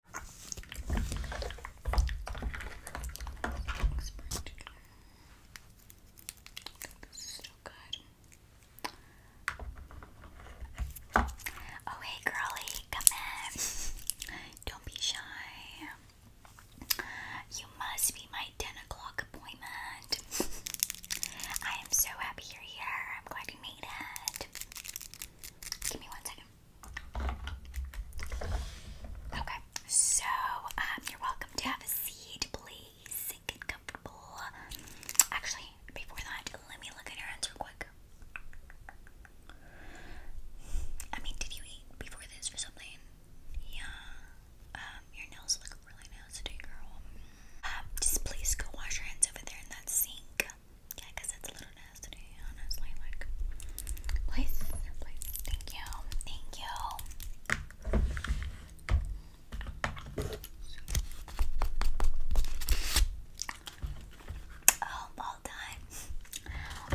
This Oh, hey, girly, come in. Don't be shy. You must be my 10 o'clock appointment. I am so happy you're here. I'm glad you made it. Give me one second. Okay, so um, you're welcome to have a seat, please. Get comfortable. Actually, before that, let me look at your hands real quick. I mean, did you eat before this or something? Yeah. Um, your nails look really nasty, girl. Um, just please go wash your hands over there in that sink yeah, it's a little nasty, honestly. Like, please, please, thank you, thank you. Oh, all time.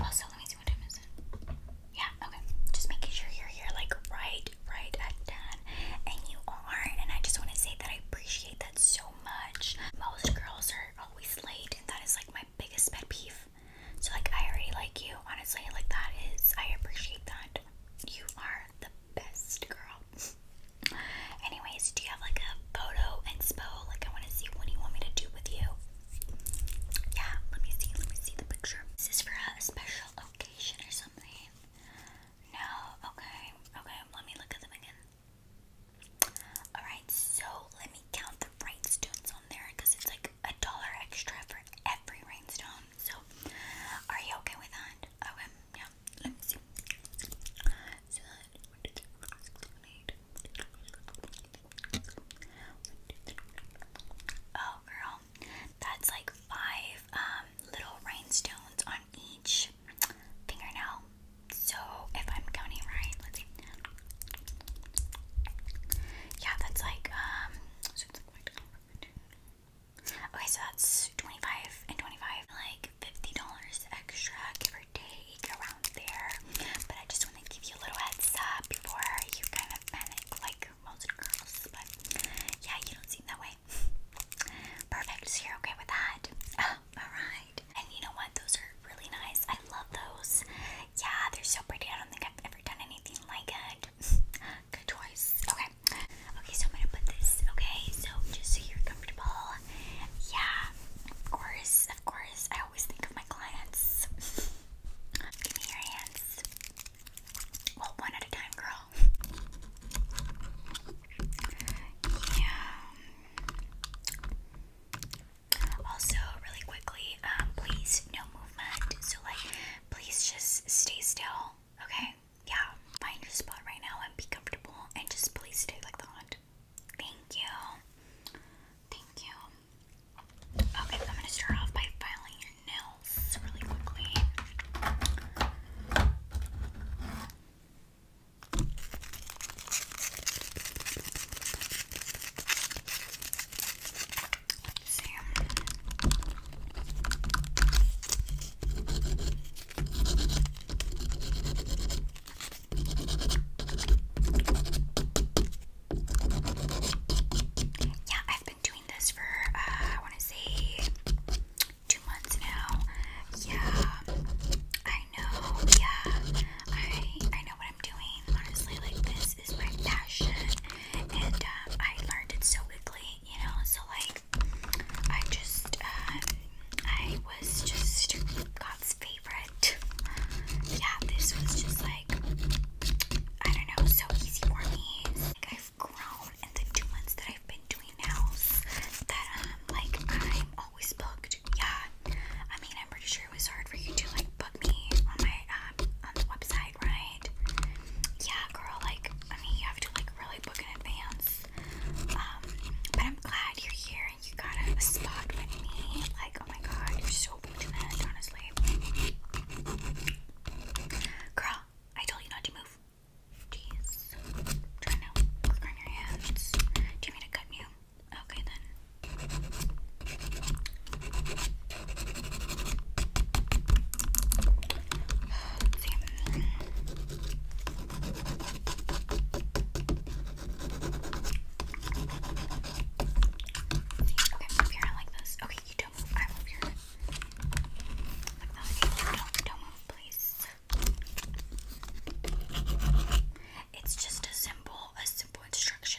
Also, let me see what time is it. Yeah, okay. Just making sure you're here, like right, right at ten, and you are. And I just want to say that I appreciate that so much. Most girls are always late, and that is like biggest pet peeve. So like I already like you, honestly, like that is I appreciate that. You are the best girl. Anyways, do you have like a photo and inspo? Like I wanna see what do you want me to do with you? Yeah, let me see, let me see the picture. Is for a special occasion or something? No, okay, okay, let me look at them again. Alright, so let me count the rhinestones on there because it's like a dollar extra for every rainstone. So, are you okay with that? Okay, yeah. Let me see. Oh, girl. That's like five um, little rhinestones on each fingernail. So, if I'm counting right, let's see. Yeah, that's like, um, okay, so that's 25 and 25, like $50 extra, give or take, around there. But I just want to give you a little heads up before you kind of panic, like most girls. But yeah, you don't seem that way. Perfect, so you're okay with that. Um, Alright. And you know what? Those are really nice. I love those. Yeah, they're so pretty. I don't think I've ever done anything like it. Good choice. Okay. Okay, so I'm gonna put this, okay? So just so you're comfortable. Yeah, of course, of course. I always think of my clients. Give me your hands. Well, one at a time, girl. Yeah. Also, really quickly, um, please no movement. So, like, please just stay still, okay? Yeah, find your spot right now and be comfortable, and just please stay like that. Thank you. Thank you. Okay, I'm gonna start off by filing your nails really quickly. Yeah, I've been doing this for uh, I want to say two months now. Yeah, I know. Yeah, I I know what I'm doing. Honestly, like this is my passion, and um, I learned it so quickly, you know. So like, I just, uh, I was just God's favorite. Yeah, this was just like, I don't know, so easy for me. Like I've grown in the two months that I've been doing nails. That um, like I'm always booked. Yeah. I mean, I'm pretty sure it was hard for you to like book me on my um on the website, right? Yeah, girl. Like, I mean, you have to like really book in advance. Um, but I'm glad you're here and you got a, spot with me. Like, oh my god, you're so booked in fortunate, honestly. Girl, I told you not to move. Jeez. Try to work on your hands. Do you mean to cut you? Okay then. okay, move your like this. Okay, you don't move. I move your hand. Like that. don't move, please. It's just a simple, a simple instruction.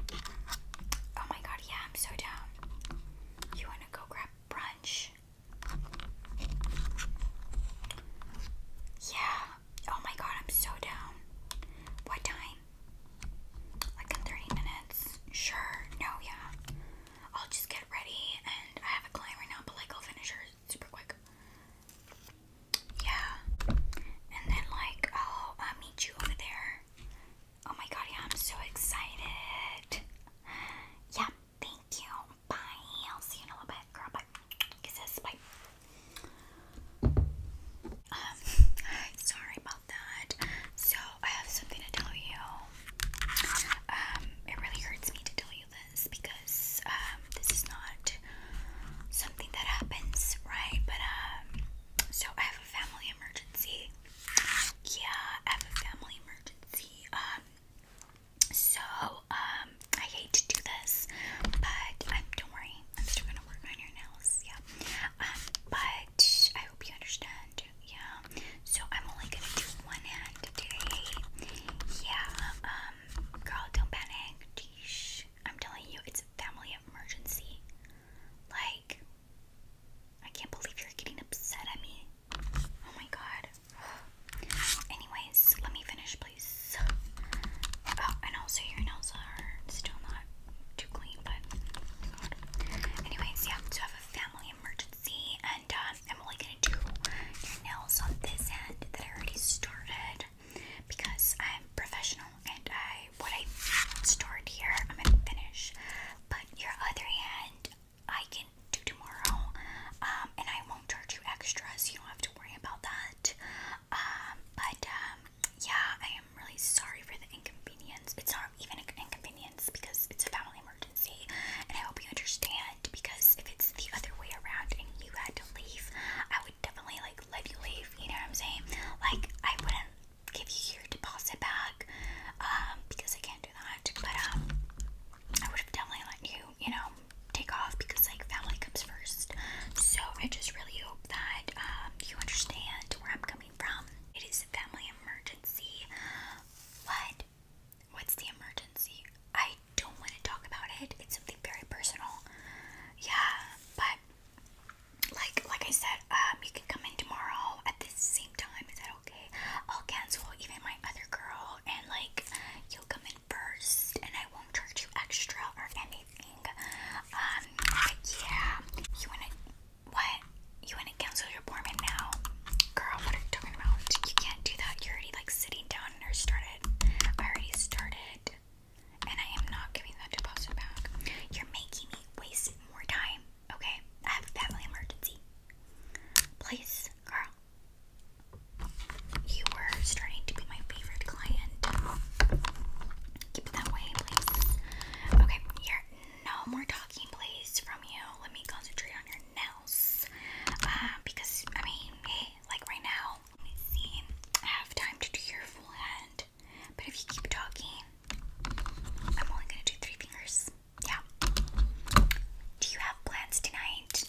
Oh my god, yeah, I'm so down. You wanna go grab brunch? Yeah. Oh my god, I'm so down. What time? Like in 30 minutes? Sure. No, yeah. I'll just get ready and I have a client right now, but like I'll finish her super quick. Yeah. And then like, oh, I'll meet you over there. Oh my god, yeah, I'm so excited. Yeah, thank you. Bye. I'll see you in a little bit, girl. Bye. Kisses. Bye. Um, sorry about that. So I have something to tell you. Um, it really hurts me to tell you this because um, this is not something that happens, right? But um, so I have a family emergency. Yeah, I have a family emergency. Um, so um, I hate to do this, but um, don't worry, I'm still gonna work on your nails. Yeah. Um, but I hope you understand. Yeah. So I'm only gonna do one hand today. Yeah. Um, girl, don't panic. Jeez. I'm telling you, it's a family emergency. Like, I can't believe you're getting upset at me. Oh my god. Anyways, let me finish, please. Oh, and also your nails are still not too clean, but anyways, yeah. So I have a family emergency, and uh, I'm only gonna do your nails on this end that I already started because I'm professional and I what I stored here I'm gonna finish. But your other hand I can do tomorrow, um, and I won't charge you extras. so you don't have to worry about that. Um, but um, yeah, I am really sorry for the inconvenience. It's not even an inconvenience because it's a family emergency, and I hope you understand. Because if it's the other way around and you had to leave, I definitely like let you leave, you know what I'm saying? Like I wouldn't give you your deposit back, um, because I can't do that. But um, I would have definitely let you, you know, take off because like family comes first. So I just really hope that um, you understand where I'm coming from. It is a family emergency. What? What's the emergency? I don't want to talk about it. It's something very personal. Yeah, but like like I said, um, you can come in tomorrow at the same time. Is that okay? I'll cancel even my other girl, and like you'll come in first, and I won't charge you extra or anything. Um, yeah, you wanna what? You wanna cancel your appointment now, girl? What are you talking about? You can't do that. You're already like sitting down and I started. I already started. And I am not giving that deposit back. You're making me waste more time. Okay? I have a family emergency. Please, girl. You were starting to be my favorite client. Keep it that way, please. Okay, No more talking, please, from you. Let me concentrate on your nails. Uh, because, I mean, like right now, let me see. I have time to do your full hand. But if you keep talking, I'm only gonna do three fingers. Yeah. Do you have plans tonight?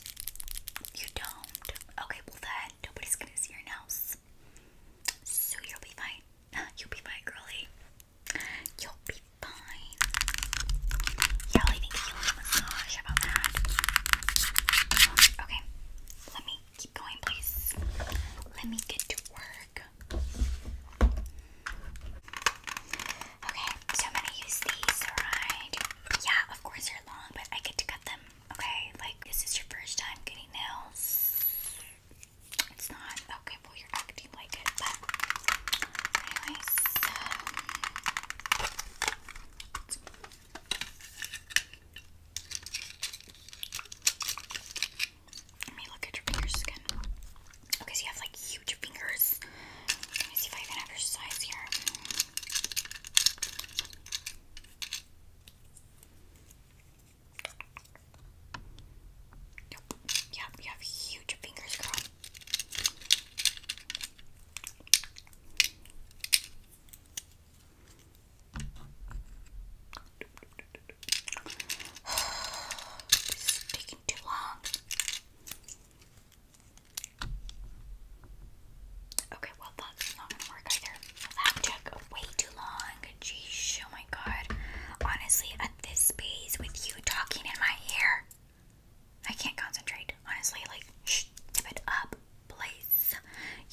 You don't. Okay, well then nobody's gonna see your nails. So you'll be fine. You'll be fine, girly. You'll be fine. Yeah, I think you need a massage. How about that? Okay, let me Keep going, please. Let me get to work. Okay, so I'm gonna use these, right? Yeah, of course they're long, but I get to cut them. Okay, like this is your first time getting nails. It's not okay. Well, you're acting like it, but anyways. Um, let me look at your fingers again. Okay, so you have like huge fingers. Let me see if I even have your size here. Yep, yep, you have huge fingers, girl this is taking too long. Okay, well that's not gonna work either. That took way too long. Jeez, oh my god. Honestly, at this pace with you talking in my ear, I can't concentrate. Honestly, like, tip it up, please.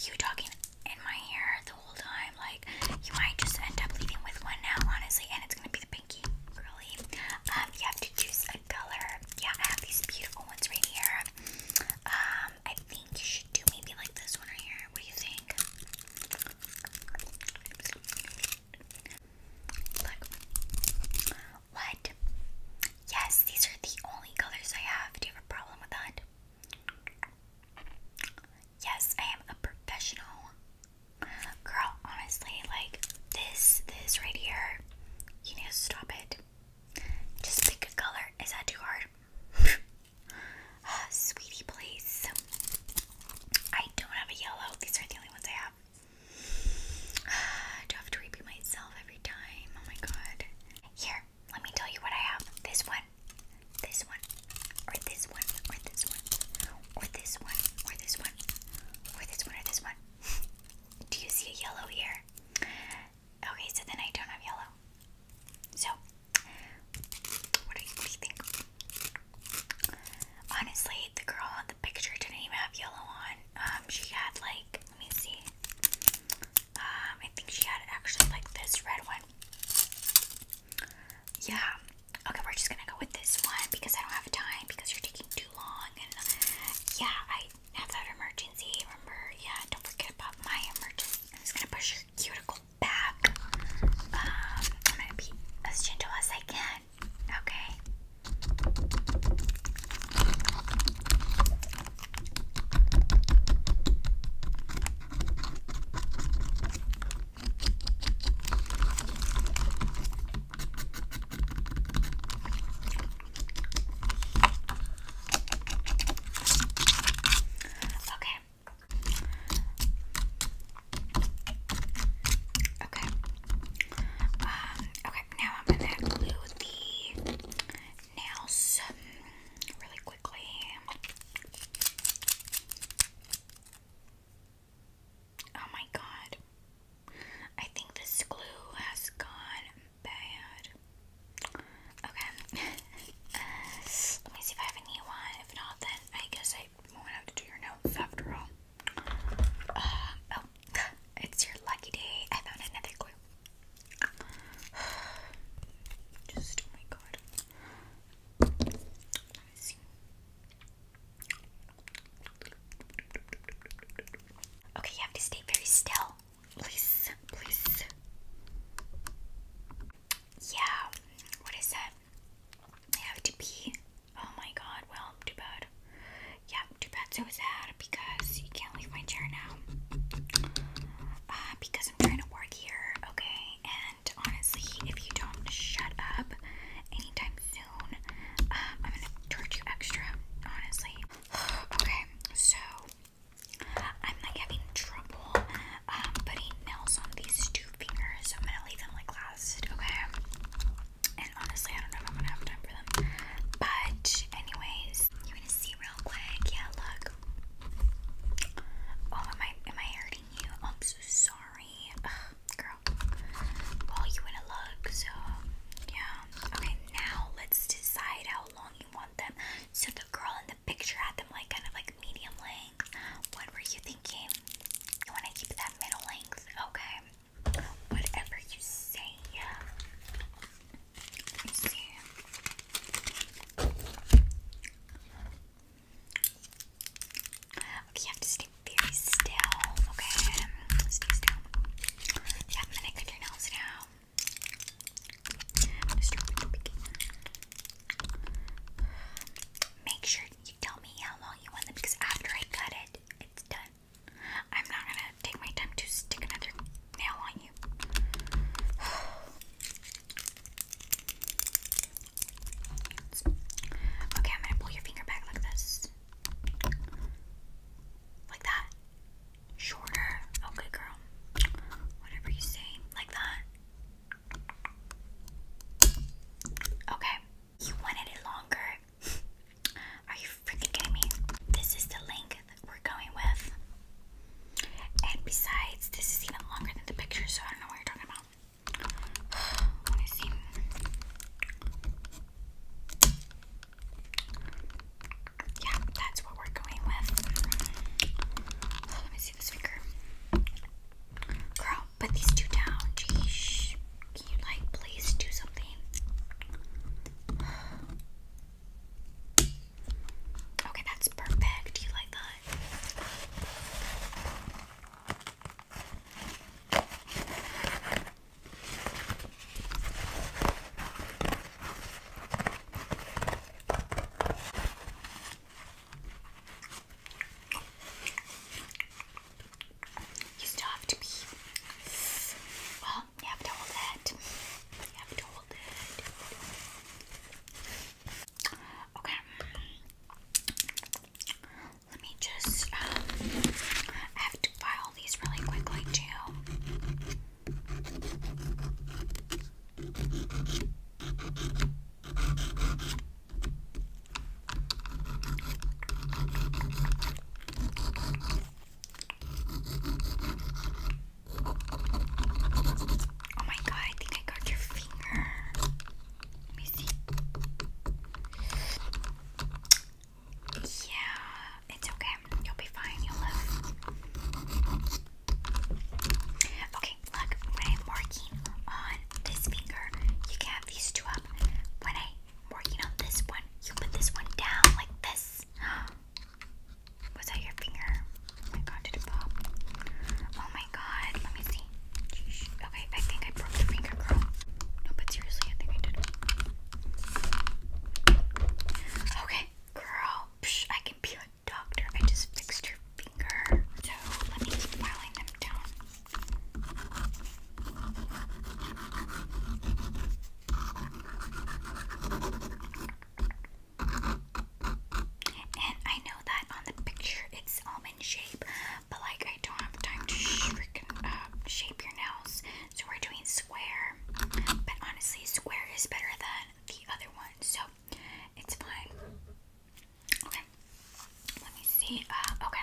You talking in my hair the whole time. Like, you might just end up leaving with one now, honestly, and it's gonna be the pinky curly. Um, you have to choose a color. Yeah, I have these beautiful ones right here. Um, I think you should do maybe like this one right here. What do you think? What? Yes, these are the only colors I have. Do you have a problem with that? Yes, I am a professional. Girl, honestly, like this, this right here, you need to stop it. Just pick a color. Is that too hard? Ah, sweetie, please. I don't have a yellow. These are the only ones I have. I have to repeat myself every time. Oh my god. Here, let me tell you what I have. This one, this one, or this one, or this one, or this one, or this one, or this one, or this one. Do you see a yellow here? Okay, so then I don't have yellow. So, what do you, what do you think? Honestly, the girl on the picture didn't even have yellow on. Um, she had like, let me see. Um, I think she had actually like this red one yeah. Okay, we're just gonna go with this one because I don't have time because you're taking too long. And yeah, I have that emergency. Remember? Yeah, don't forget about my emergency. I'm just gonna push your cuticle back. Um, I'm gonna be as gentle as I can. Okay. Okay. Okay. Um, okay, now I'm gonna glue the nails really Oh my god. I think this glue has gone bad. Okay. Let me see if I have a one. If not, then I guess I won't have to do your notes after all. Uh, oh, it's your lucky day. I found another glue. Just, oh my god. Okay, you have to stay very still. Please, please. Yeah, what is that? I have to pee. Oh my god, well, too bad. Yeah, too bad, so sad because you can't leave my chair now. Uh, because I'm trying to work here, okay? And honestly, if you don't shut up anytime soon, um, I'm gonna charge you extra, honestly. okay, so I'm like having trouble um, putting nails on these two fingers, so I'm gonna leave them like last, okay? And honestly, I don't know if I'm gonna have time for them. But, anyways, you're gonna see real quick. Yeah, look. Oh, am I, am I hair I'm so sorry. girl. Well, you want to look, so yeah. Okay, now let's decide how long you want them. So the girl in the picture had them like kind of like medium length. What were you thinking? You want to keep that middle length? Okay. Whatever you say, yeah. see. Okay, you have to stay very still. Okay, stay still. Yeah, I'm to cut your nails now. Make sure you tell me how long you want them because after I cut it, it's done. I'm not gonna take my time to stick another nail on you. Okay, I'm gonna pull your finger back like this. Like that. Shorter. Okay, girl. Whatever you say. Like that. Okay. You wanted it longer. Are you freaking kidding me? This is the length we're going with. And besides, this is even longer than the picture, so I don't know what you're talking about. Let me see. Yeah, that's what we're going with. Oh, let me see this finger. Girl, put these two down. Jeez. Can you, like, please do something? Okay, that's perfect. Do you like that? You still have to be. Well, you have to hold it. You have to hold it. Okay. Let me just, um, I have to file these really quickly too. Oh my god, I think I got your finger. Yeah, it's okay. You'll be fine. You'll live. Okay, look, when I'm working on this finger, you can have these two up. When I'm working on this one, you put this one down like this. Was that your finger? Oh my god, did it pop? Oh my god, let me see. Sheesh. Okay, I think I broke the finger, girl. No, but seriously, I think I did. Okay, girl. I can be a doctor. I just fixed your finger. So let me keep them down. And I know that on the picture it's almond um shape, but like I don't have time to sh um, shape your nails, so we're doing square. But honestly, square is better than the other one, so it's fine. Okay, let me see. Uh, okay.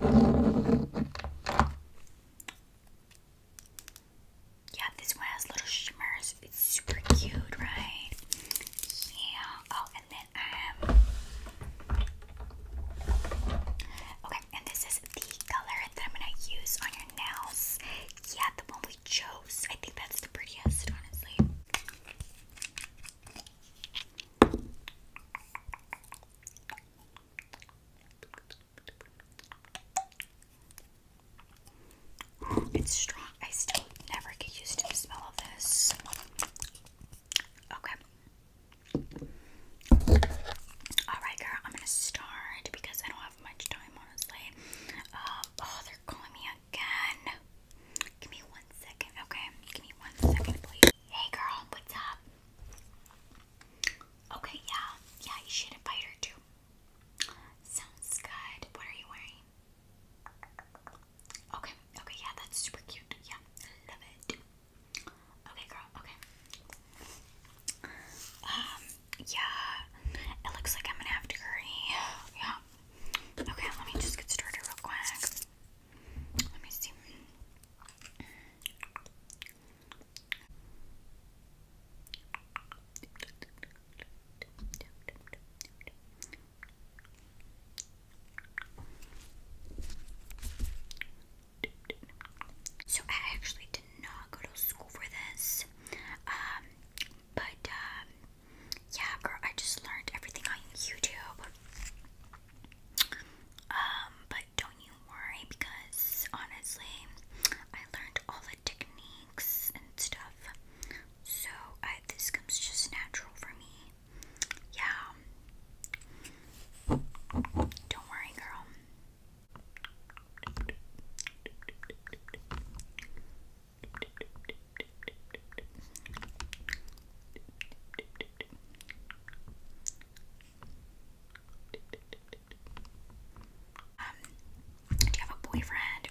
Yeah, this one has little shimmers. It's super cute, right? Yeah. Oh, and then um Okay, and this is the color that I'm gonna use on your nails. Yeah, the one we chose. I think that's the prettiest, honestly. It's strong. I still never get used to the smell of this. Okay. Alright, girl, I'm gonna start because I don't have much time, honestly. Um, oh, they're calling me again. Give me one second, okay? Give me one second, please. Hey girl, what's up? Okay, yeah, yeah, you should invite her too. Sounds good. What are you wearing? Okay, okay, yeah, that's super cute. Yeah, love it. Okay, girl, okay. Um, yeah, it looks like I'm gonna have to hurry. Yeah. Okay, let me just get started real quick. Let me see. So I actually did not go to school for this. Um, but um, yeah girl I just learned everything on YouTube. Um, but don't you worry because honestly, I learned all the techniques and stuff. So I, this comes just natural for me. Yeah. Don't worry, girl. Um, do you have a boyfriend?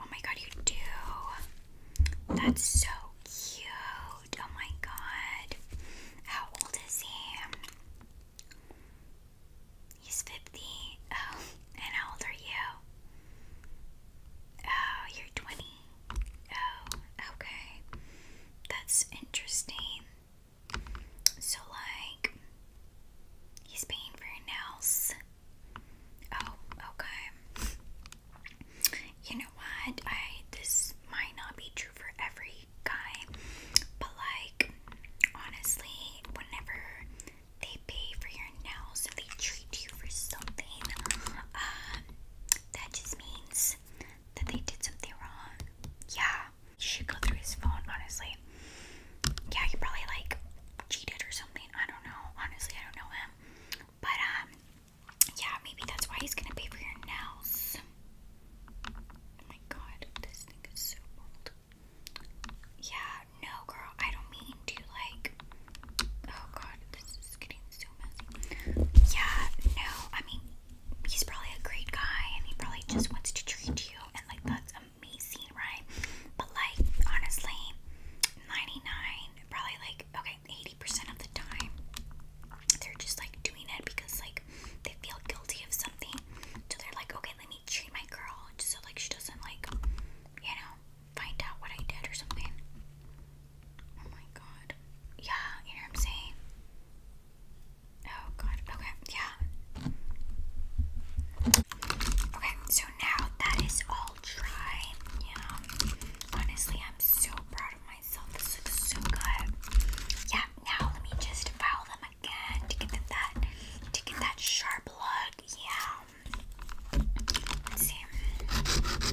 Oh my god, you do. That's so cute. Oh my god. How old is he? He's 50. Oh, and how old are you? Oh, you're 20. Oh, okay. That's interesting. So, like, he's paying for your nails. Oh, okay. You know what? I this might not be true for every guy, but like, honestly, whenever they pay for your nails and they treat you for something, um, that just means that they did something wrong. Yeah, you should go through his phone, honestly. Yeah, he probably like cheated or something. I don't know. Honestly, I don't know him. But, um, yeah, maybe that's why he's gonna pay for your nails. Oh my god, this thing is so bold. Yeah, no, girl, I don't mean to, like, oh god, this is getting so messy. Yeah, no, I mean, he's probably a great guy and he probably just wants to treat you and like that's amazing, right? But like honestly, 99 probably like okay, 80% of the time they're just like doing it because like they feel guilty of something. So they're like, okay, let me treat my girl just so like she doesn't like you know, find out what I did or something. Oh my god. Yeah, you know what I'm saying? Oh god. Okay, yeah. Okay, so now that is all dry. Yeah. Honestly, I'm so proud of myself. This looks so good. Yeah, now let me just file them again to get that to get that sharp look. Yeah. Let's see.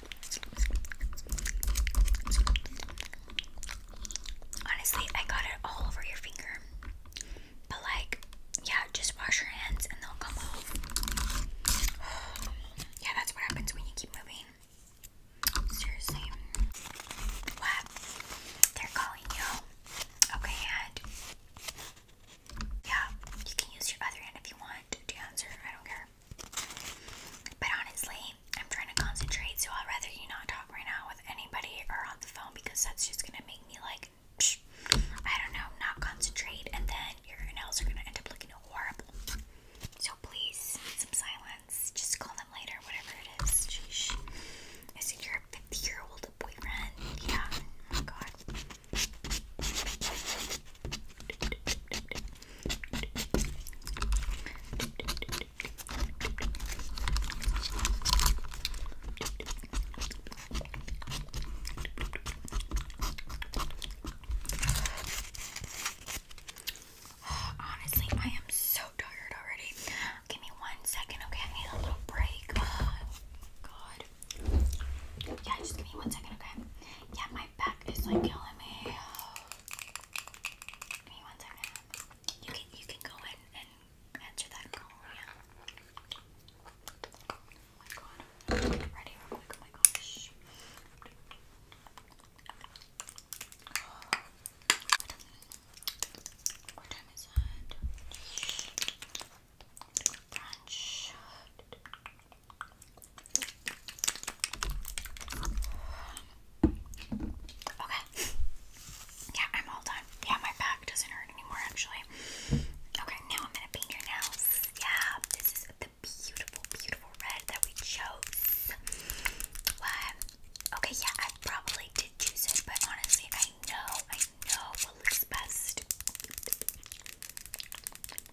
Honestly, I got it all over your finger. But, like, yeah, just wash your hands and they'll come off. yeah, that's what happens when you keep moving. Seriously. What? They're calling you. Okay, and. Yeah, you can use your other hand if you want to answer. I don't care. But honestly, I'm trying to concentrate, so I'd rather you not talk right now with anybody or on the phone because that's just gonna make me like, psh, I don't know, not concentrate, and then your nails are gonna end up looking horrible. So please, some silence. Just call them later, whatever it is. Sheesh. Is it your 50 year old boyfriend? Yeah. Oh my god. Honestly, I am so tired already. Give me one second, okay? I need a little break. Oh, God. Yeah, just give me one second, okay? Yeah, my my back is like killing me. You can you can go in and answer that call, Oh my god. Ready oh my gosh. What time is it? Brunch. Okay. Yeah, I'm all done. Yeah, my back doesn't hurt anymore actually. Okay, now I'm gonna paint your nails. Yeah, this is the beautiful, beautiful red that we chose. What? Okay, yeah, I probably did choose it, but honestly, I know, I know what looks best.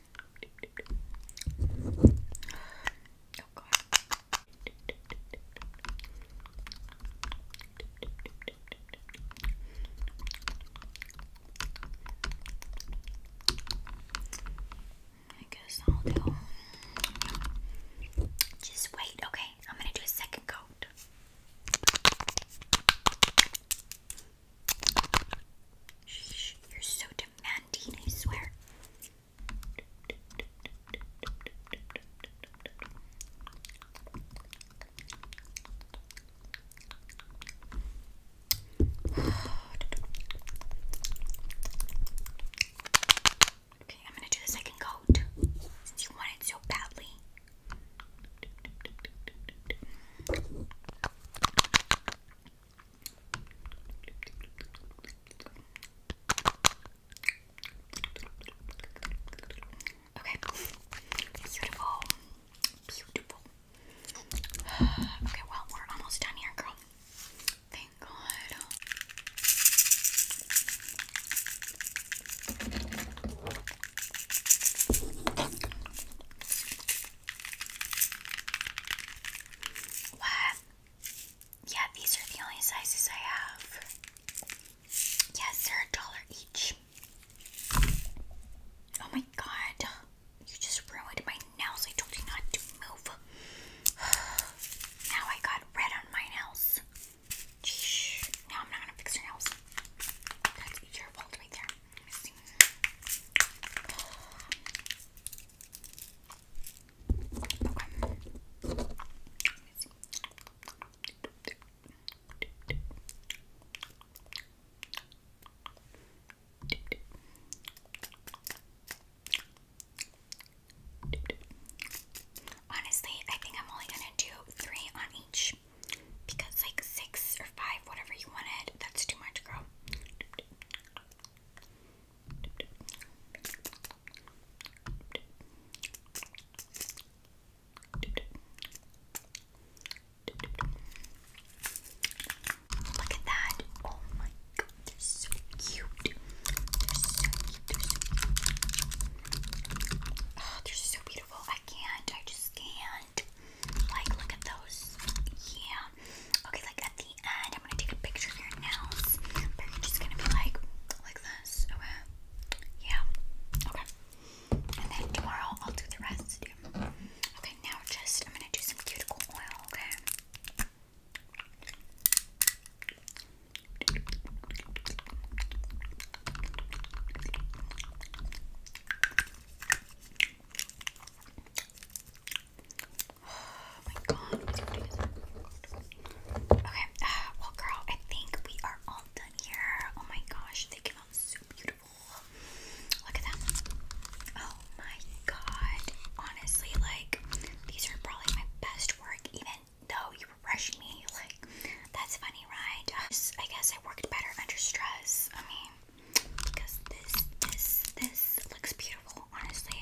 I guess I'll do. Just wait, okay? I'm gonna do a second coat. Shh, you're so demanding, I swear. Okay, I'm gonna do the second coat since you want it so badly. Okay. Beautiful. Beautiful. Okay, well, we're almost done here, girl. Thank God. What? Yeah, these are the only sizes I have. Yes, they're a dollar each. Oh my god. You just ruined my nails. I told you not to move. now I got red on my nails. Now I'm not gonna fix your nails. That's your fault right Honestly, I think I'm only gonna do three on each because, like, six or five, whatever you wanted, that's too much, girl. Look at that. Oh my god, they're so cute. They're so cute. They're so oh, beautiful. I can't. I just can't. Like, look at those. Yeah. Okay, like at the end, I'm gonna take a picture of your nails. But are just gonna be like, like this. Okay. Yeah. Okay. And then tomorrow I'll do the rest. Okay, now just I'm gonna do some cuticle oil, okay? Oh my god, Okay, well, girl, I think we are all done here. Oh my gosh, they came out so beautiful. Look at them. Oh my god. Honestly, like, these are probably my best work, even though you rushed me. Like, that's funny, right? I guess I worked better under stress. I mean, because this, this, this looks beautiful, honestly.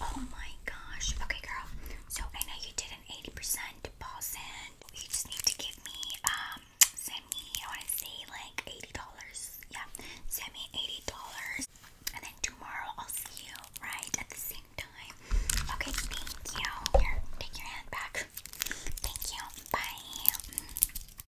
Oh my gosh. Okay, girl. So I know you did an 80% deposit. You just need to give me, um, send me, I want to say like $80. Yeah, send me $80. And then tomorrow I'll see you right at the same time. Okay, thank you. Here, take your hand back. Thank you. Bye.